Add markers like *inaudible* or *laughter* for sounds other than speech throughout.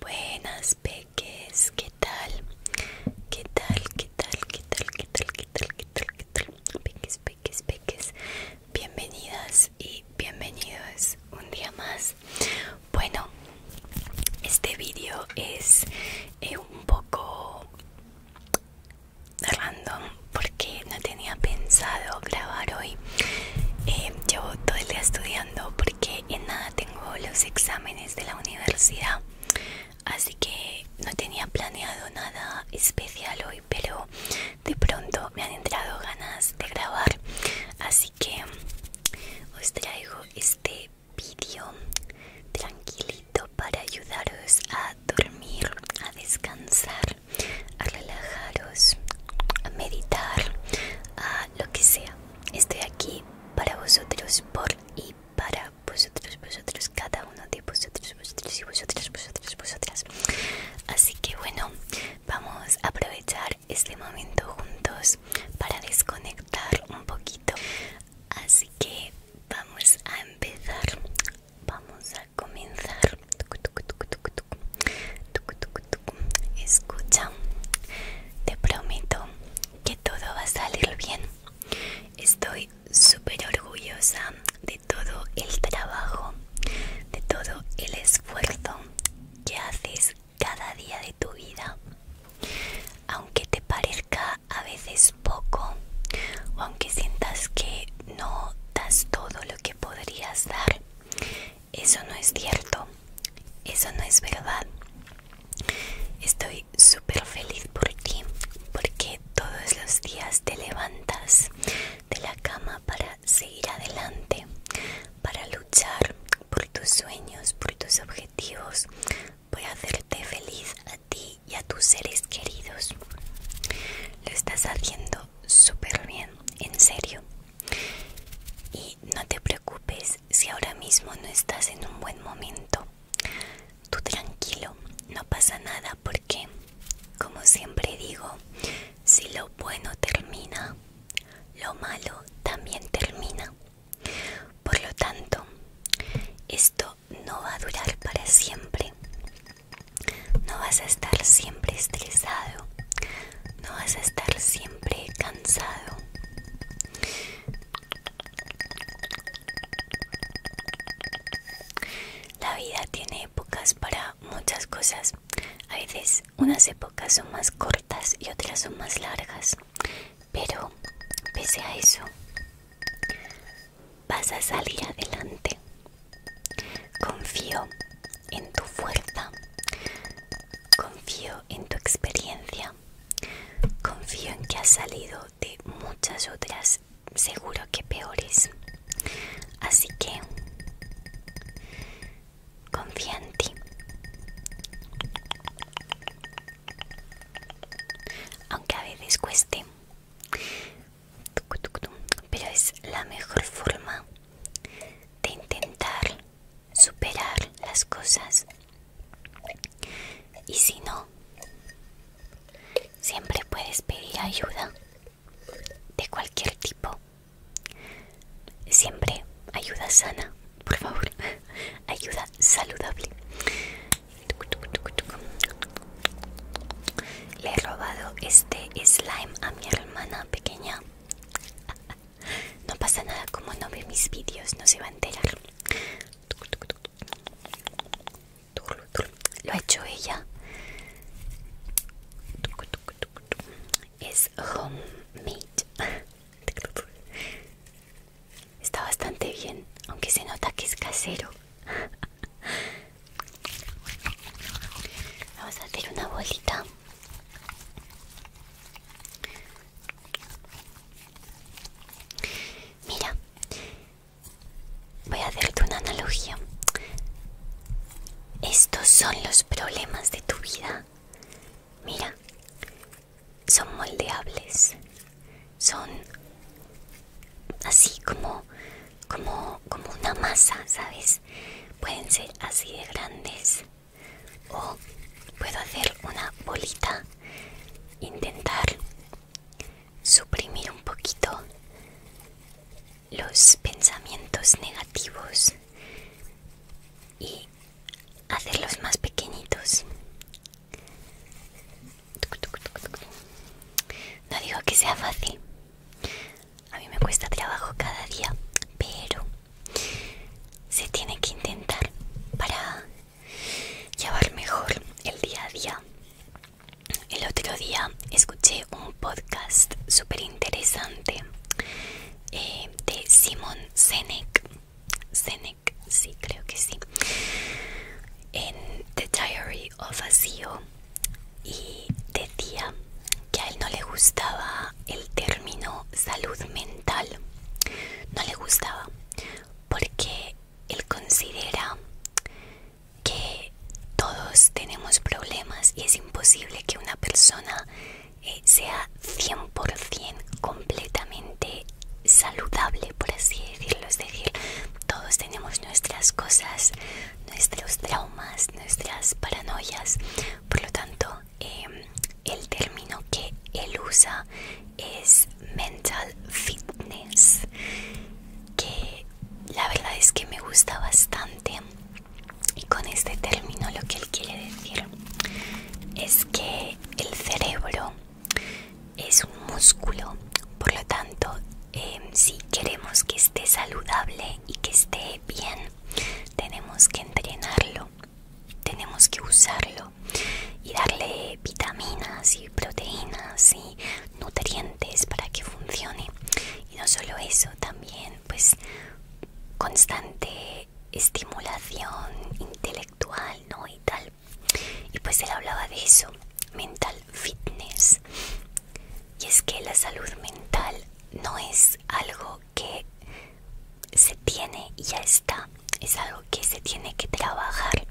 Buenas peques, ¿qué tal? ¿Qué tal? ¿Qué tal? ¿Qué tal? ¿Qué tal? ¿Qué tal? ¿Qué tal? Peques, peques, peques. Bienvenidas y bienvenidos un día más. Bueno, este vídeo es eh, un poco random porque no tenía pensado grabar hoy. Eh, llevo todo el día estudiando porque en nada tengo los exámenes de la universidad. Así que no tenía planeado nada especial hoy, pero de pronto me han entrado ganas de grabar. Así que os traigo este vídeo tranquilito para ayudaros a dormir, a descansar a relajaros, a meditar, a lo que sea. Estoy aquí para vosotros, por y para vosotros, vosotros, cada uno de vosotros, vosotros y vosotras, vosotros, vosotras. Así que bueno, vamos a aprovechar este momento juntos para desconectar un poquito. Así que vamos a empezar vamos a comenzar. Escucha, te prometo que todo va a salir bien. Estoy súper orgullosa de todo el trabajo, de todo el esfuerzo que haces cada día de tu vida. Aunque te parezca a veces poco aunque sientas que no das todo lo que podrías dar, eso no es cierto, eso no es verdad. Estoy súper feliz por ti porque todos los días te levantas de la cama para seguir adelante, para luchar por tus sueños, por tus objetivos, por hacerte feliz ti y a tus seres queridos. Lo estás haciendo súper bien, en serio. Y no te preocupes si ahora mismo no estás en un buen momento. Tú tranquilo, no pasa nada porque, como siempre digo, si lo bueno termina, lo malo también termina. Por lo tanto, esto no va a durar para siempre. No vas a estar siempre estresado. No vas a estar siempre cansado. La vida tiene épocas para muchas cosas. A veces unas épocas son más cortas y otras son más largas. Pero, pese a eso, vas a salir adelante. Confío en tu fuerza, confío en tu experiencia, confío en que has salido de muchas otras seguro que peores. Así que confía en ti. Aunque a veces cueste, pero es la mejor forma de intentar superar las cosas. Y si no, siempre puedes pedir ayuda de cualquier tipo. Siempre ayuda sana, por favor. *laughs* Ayuda saludable. Le he robado este slime a mi hermana pequeña. No pasa nada, como no ve mis vídeos, no se va a enterar. Lo ha hecho ella. Es homemade. Está bastante bien, aunque se nota que es casero. Vamos a hacer una bolita. Mira, voy a hacerte una analogía. Estos son los problemas de tu vida. Mira, son moldeables, son así como, como, una masa, ¿sabes? Pueden ser así de grandes o puedo hacer una bolita, intentar suprimir un poquito los pensamientos negativos y hacerlos más pequeñitos no digo que sea fácil. A mí me cuesta trabajo cada día, pero se tiene que intentar para llevar mejor el día a día. El otro día escuché un podcast súper interesante eh, de Simon Sinek Senec, sí, creo que sí. En The Diary of a CEO y decía que a él no le gustaba el término salud mental. No le gustaba porque él considera que todos tenemos problemas y es imposible que una persona eh, sea 100% completamente saludable, por así decirlo. Es decir, todos tenemos nuestras cosas, nuestros traumas, nuestras paranoias. Por lo tanto, em, el término que él usa es mental fitness, que la verdad es que me gusta bastante. Y con este término lo que él quiere decir es que el cerebro es un músculo, por lo tanto, em, si queremos que esté saludable y que esté bien, tenemos que entrenarlo, tenemos que usarlo y darle vitaminas y proteínas y nutrientes para que funcione. Y no solo eso, también pues constante estimulación intelectual actual, ¿no? Y tal. Y pues él hablaba de eso, mental fitness. Y es que la salud mental no es algo que se tiene y ya está, es algo que se tiene que trabajar.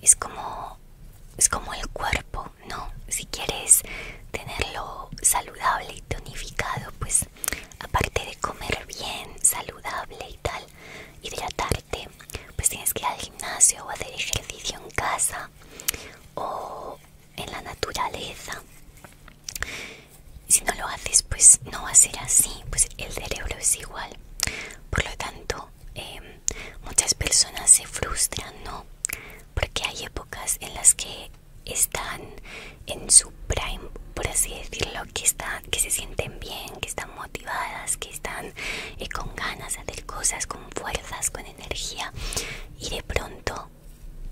Es como es como el cuerpo, ¿no? Si quieres tenerlo saludable y tonificado, pues aparte de comer bien, saludable y tal, y hidratarte, pues tienes que ir al gimnasio o hacer ejercicio en casa o en la naturaleza. Si no lo haces, pues no va a ser así, pues el cerebro es igual. Por lo tanto, em, muchas personas se frustran, ¿no? Porque hay épocas en las que están en su prime, por así decirlo, que, que se sienten bien, que están motivadas, que están eh, con ganas de hacer cosas, con fuerzas, con energía. Y de pronto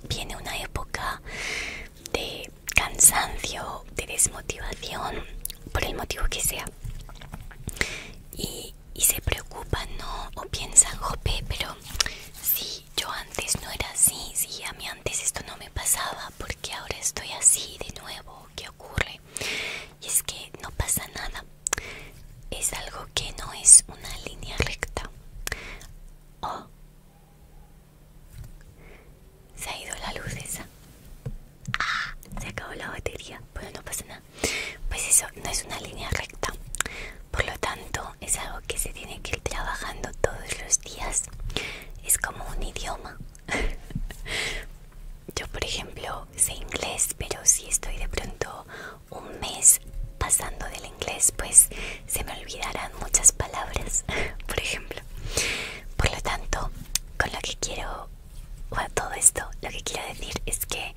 viene una época de cansancio, de desmotivación, por el motivo que sea. Y, y se preocupan, ¿no? O piensan, jope, pero sí yo antes no era así, sí, a mí antes esto no me pasaba, porque ahora estoy así de nuevo, ¿qué ocurre? Y es que no pasa nada, es algo que no es una línea recta. se ha ido la luz esa. Ah, se acabó la batería, bueno, no pasa nada. Pues eso no es una línea recta, por lo tanto es algo que se tiene que ir trabajando todos los días. Es como un idioma. *laughs* Yo, por ejemplo, sé inglés, pero si estoy de pronto un mes pasando del inglés, pues se me olvidarán muchas palabras, *laughs* por ejemplo. Por lo tanto, con lo que quiero, a todo esto, lo que quiero decir es que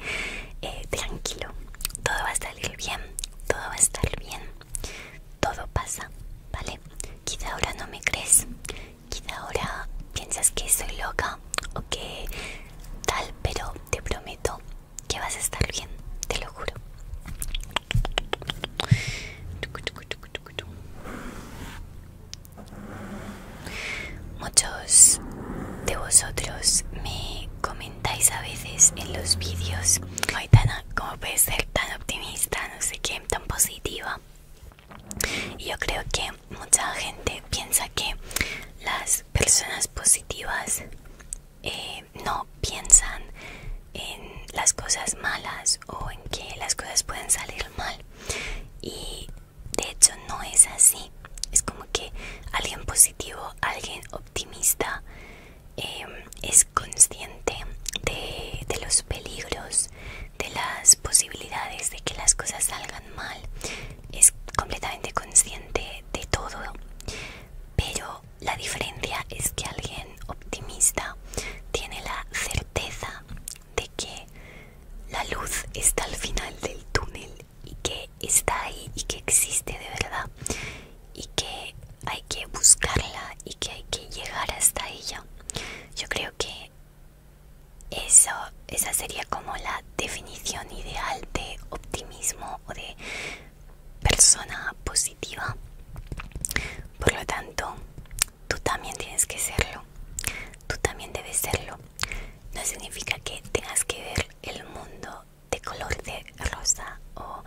eh, tranquilo, todo va a salir bien, todo va a estar bien todo pasa, ¿vale? Quizá ahora no me crees, quizá ahora piensas que soy loca o que tal, pero te prometo que vas a estar bien, te lo juro. Muchos de vosotros me comentáis a veces en los vídeos, Aitana, cómo puede ser tan optimista, no sé qué, tan positiva. Y yo creo que mucha gente piensa que las personas positivas eh, no piensan en las cosas malas o en que las cosas pueden salir mal. Y de hecho no es así. Es como que alguien positivo, alguien optimista Em, es consciente de los peligros, de las posibilidades de que las cosas salgan mal, es completamente consciente de todo, pero la diferencia es que alguien optimista tiene la certeza de que la luz está al final del túnel y que está ahí y que existe de verdad y que hay que buscarla y que hay que llegar hasta ella. Yo creo que esa sería como la definición ideal de optimismo o de persona positiva. Por lo tanto, tú también tienes que serlo. Tú también debes serlo. No significa que tengas que ver el mundo de color de rosa o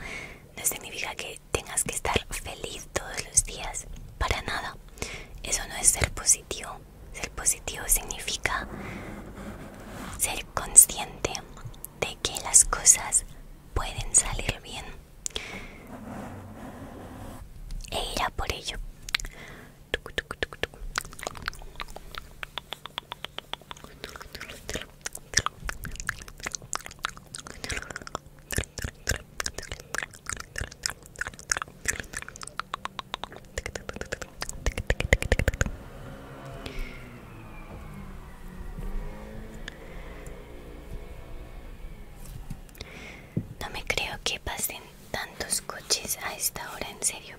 no significa que tengas que estar feliz todos los días, para nada. Eso no es ser positivo. Ser positivo significa ser consciente de que las cosas pueden salir bien e ir a por ello. No me creo que pasen tantos coches a esta hora, en serio.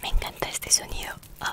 Me encanta este sonido. Oh.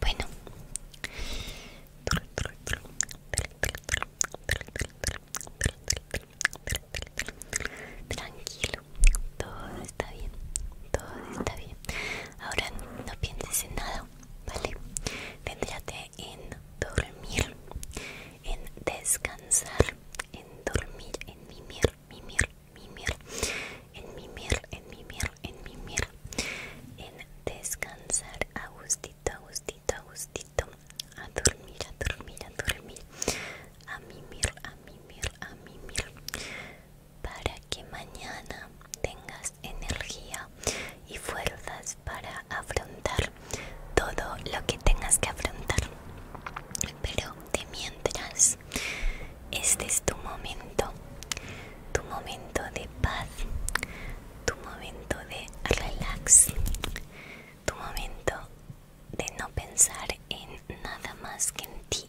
Bueno. Tranquilo, todo está bien, todo está bien. Ahora no pienses en nada, ¿vale? que en dormir, en descansar, en dormir, en mimir, mimir, mimir, en mimir, en mimir, en mimir, en descansar a gustito, a gustito, a gustito, a dormir, a dormir, a dormir, a mimir, a mimir, a mimir para que mañana tengas energía y fuerzas para afrontar todo lo que tengas que afrontar. Pero de mientras, este es tu momento, tu momento de paz, tu momento de relax, tu momento de no pensar en nada más que en ti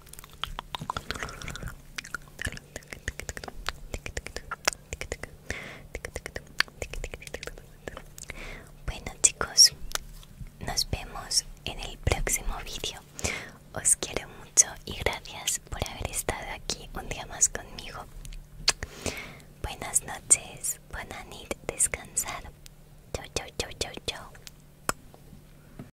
Bueno chicos, nos vemos en el próximo vídeo. Os quiero mucho y gracias por haber estado aquí un día más conmigo. Buenas noches, buenas nit, descansar. Chau, chau, chau, chau, chau.